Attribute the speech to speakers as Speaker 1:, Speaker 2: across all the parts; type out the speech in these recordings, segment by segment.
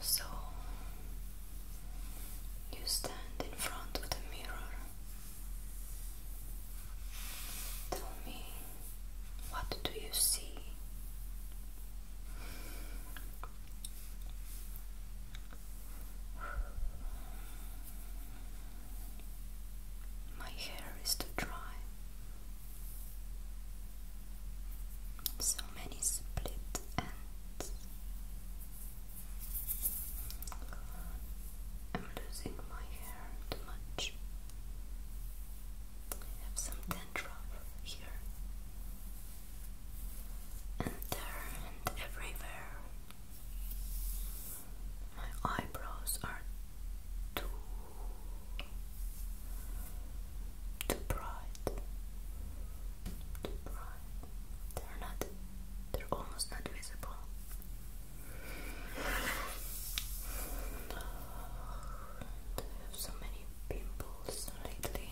Speaker 1: So you stand in front of the mirror. Tell me, what do you see? My hair is too dry. So many split ends. I'm losing my hair too much. I have some here and there and everywhere. My eyebrows are too too bright. Too bright. They're not they're almost not visible. I have so many pimples lately.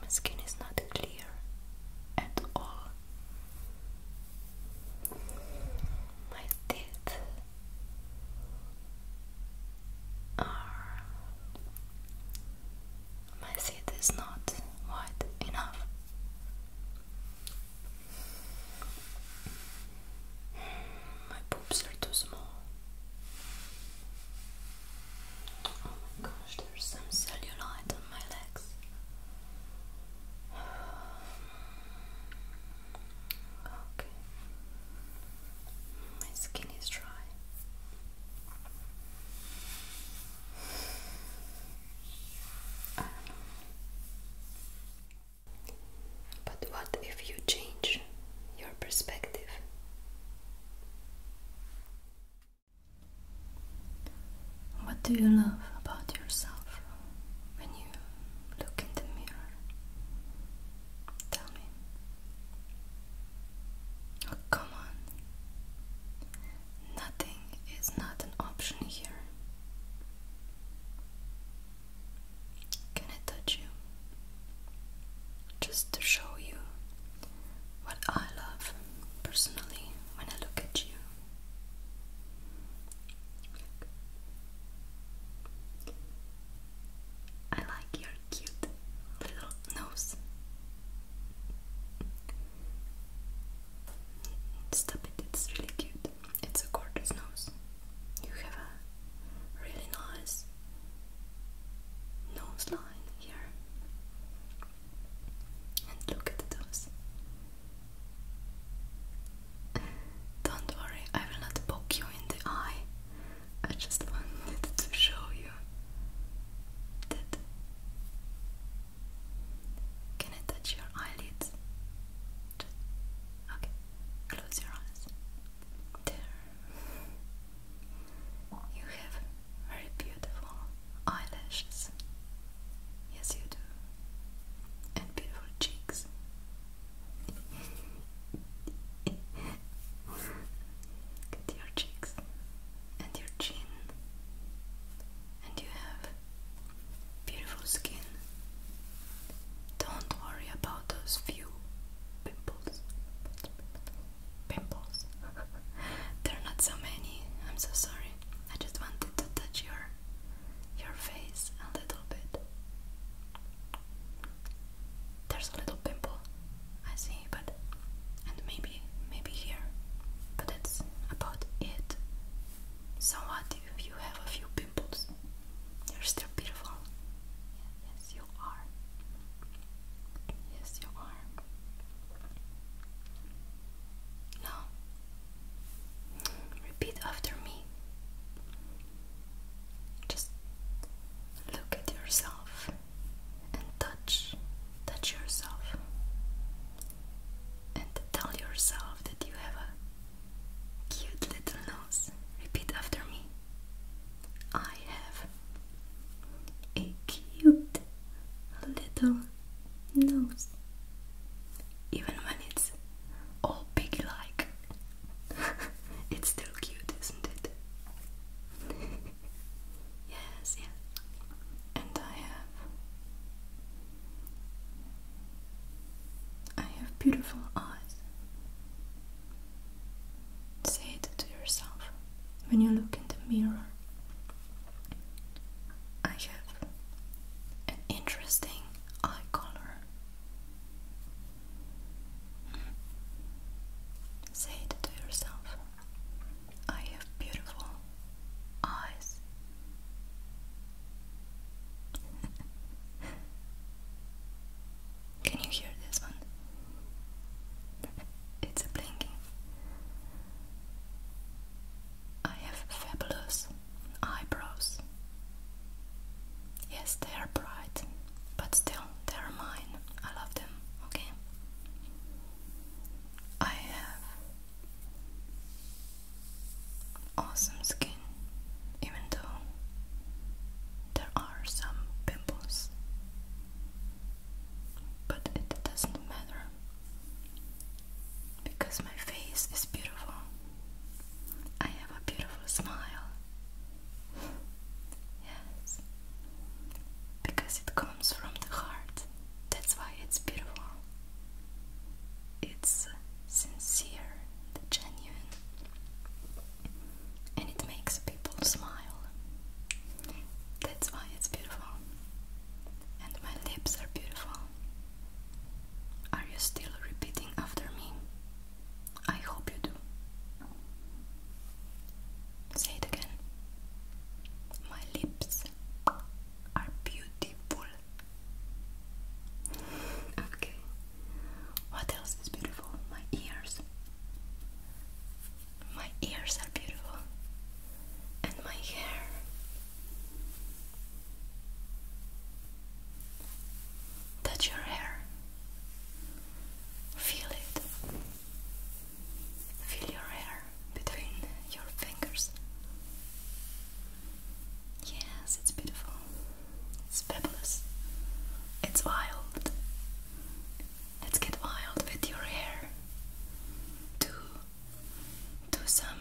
Speaker 1: My skin is not clear at all. My teeth are. My teeth is not wide enough. My boobs are too small. Oh my gosh, there's some cellulite on my legs. Okay. My skin is dry. But what if you change your perspective? What do you love about yourself when you look in the mirror? Tell me. Oh, come on. Nothing is not an option here. Can I touch you? Just to show you what I love personally when I look at you. I like your cute little nose. Stop it, it's really cute. It's a gorgeous nose. You have a really nice nose line here. And look at those. Don't worry, I will not poke you in the eye. I just wanted to show you that. Can I touch your eyelids? Okay, close your eyes. There. You have very beautiful eyelashes. Yes, you do. And beautiful cheeks. Look at your cheeks and your chin. And you have beautiful skin. Don't worry about those few pimples. Pimples. They're not so many. I'm so sorry. I just wanted to touch your your face a little bit. There's a little pimple, I see, but and maybe maybe here, but it's about it. So what if you have a few you're still beautiful. yes, you are. Yes, you are. Now, repeat after me. Just look at yourself and touch, touch yourself, and tell yourself that you have a Cute little nose. Repeat after me. I have a cute little nose. Even when it's all piggy like, it's still cute, isn't it? yes, yes. And I have I have beautiful eyes. Say it to yourself when you look in the mirror. I have an interesting eye color. Say it to yourself. I have beautiful eyes. Can you hear this one? it's blinking. I have fabulous eyebrows. Yes, they are bright, but still, they are mine. I love them, okay? I have awesome skin, even though there are some pimples, but it doesn't matter because my face is beautiful. I have a beautiful smile. yes. Because it comes from the heart. That's why it's beautiful it's sincere and genuine, and it makes people smile. That's why it's beautiful, and my lips are beautiful. Are you still repeating after me? I hope you do. Say it again. My lips are beautiful. Okay. What else is beautiful? My ears. My ears are beautiful. And my hair. Touch your hair. Feel it. Feel your hair between your fingers. Yes, it's beautiful. It's fabulous. It's wild. Let's get wild with your hair. Do do some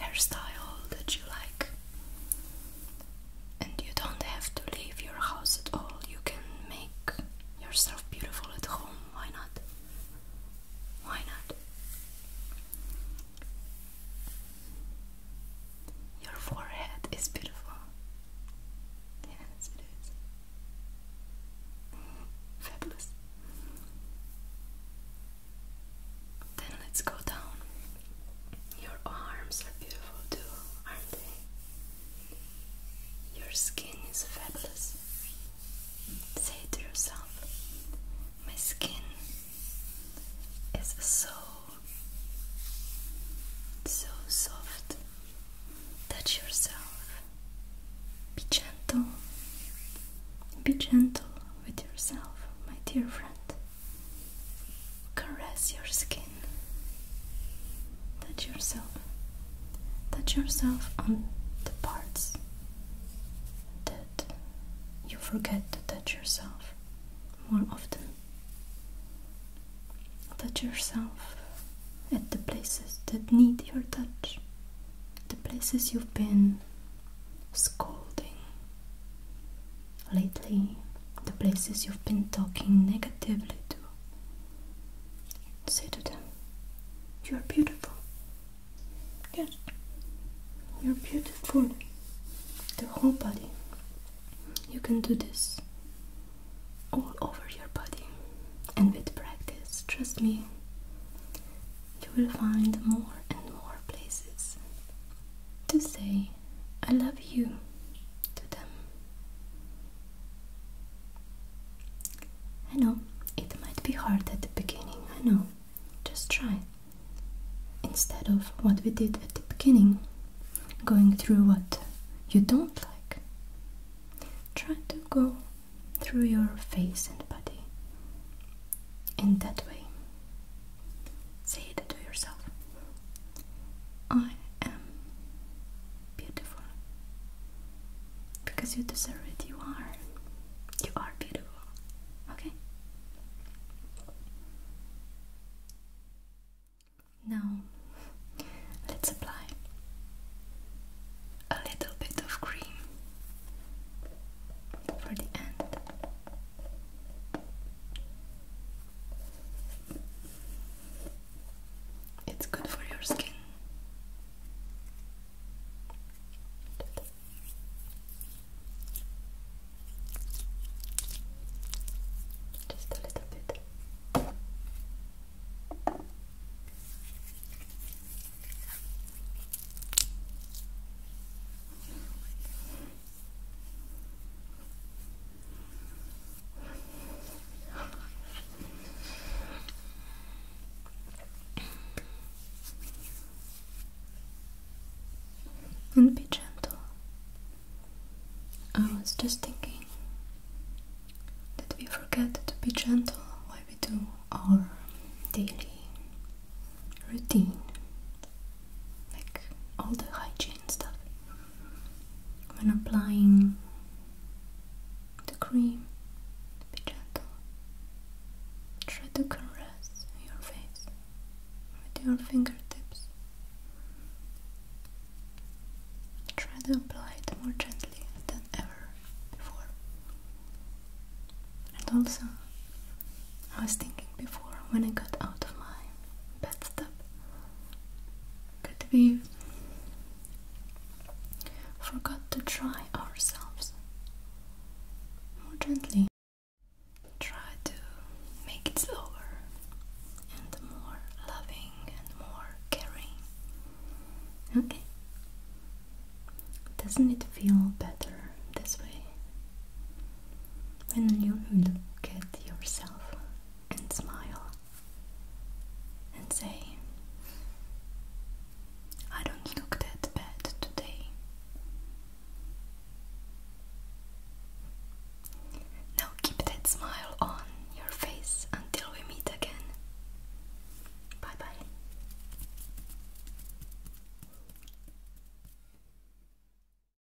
Speaker 1: hairstyle that you like. And you don't have to leave your house at all. You can make yourself beautiful at home. Why not? Why not? Your forehead is beautiful. Yes, it is. Fabulous. Then let's go down. Your arms are beautiful too, aren't they? Your skin is fabulous say to yourself, my skin is so, so soft. Touch yourself. Be gentle. Be gentle with yourself, my dear friend. Caress your skin touch yourself touch yourself on the parts that you forget to touch yourself more often touch yourself at the places that need your touch the places you've been scolding lately the places you've been talking negatively to Say to them, You are beautiful. Yes, you're beautiful. The whole body. You can do this all over your body. And with practice, trust me, you will find more and more places to say, I love you to them. I know, it might be hard at the beginning, I know. Just try. Instead of what we did at the beginning, going through what you don't like, try to go through your face and body in that way. Say it to yourself I am beautiful because you deserve it. You are. You are beautiful. Okay? Now, let's apply a little bit of cream for the end. It's good for your skin. Just a little bit. And be gentle. I was just thinking that we forget to be gentle while we do our daily routine, like all the hygiene stuff when applying the cream, be gentle. Try to caress your face with your fingertips. Try to apply it more gently than ever before. And also, I was thinking before when I got out of my bathtub that we forgot to try ourselves more gently. Try to make it slower and more loving and more caring. Okay? Doesn't it feel better this way? When you look at yourself and smile and say, I don't look that bad today. Now keep that smile on your face until we meet again. Bye bye.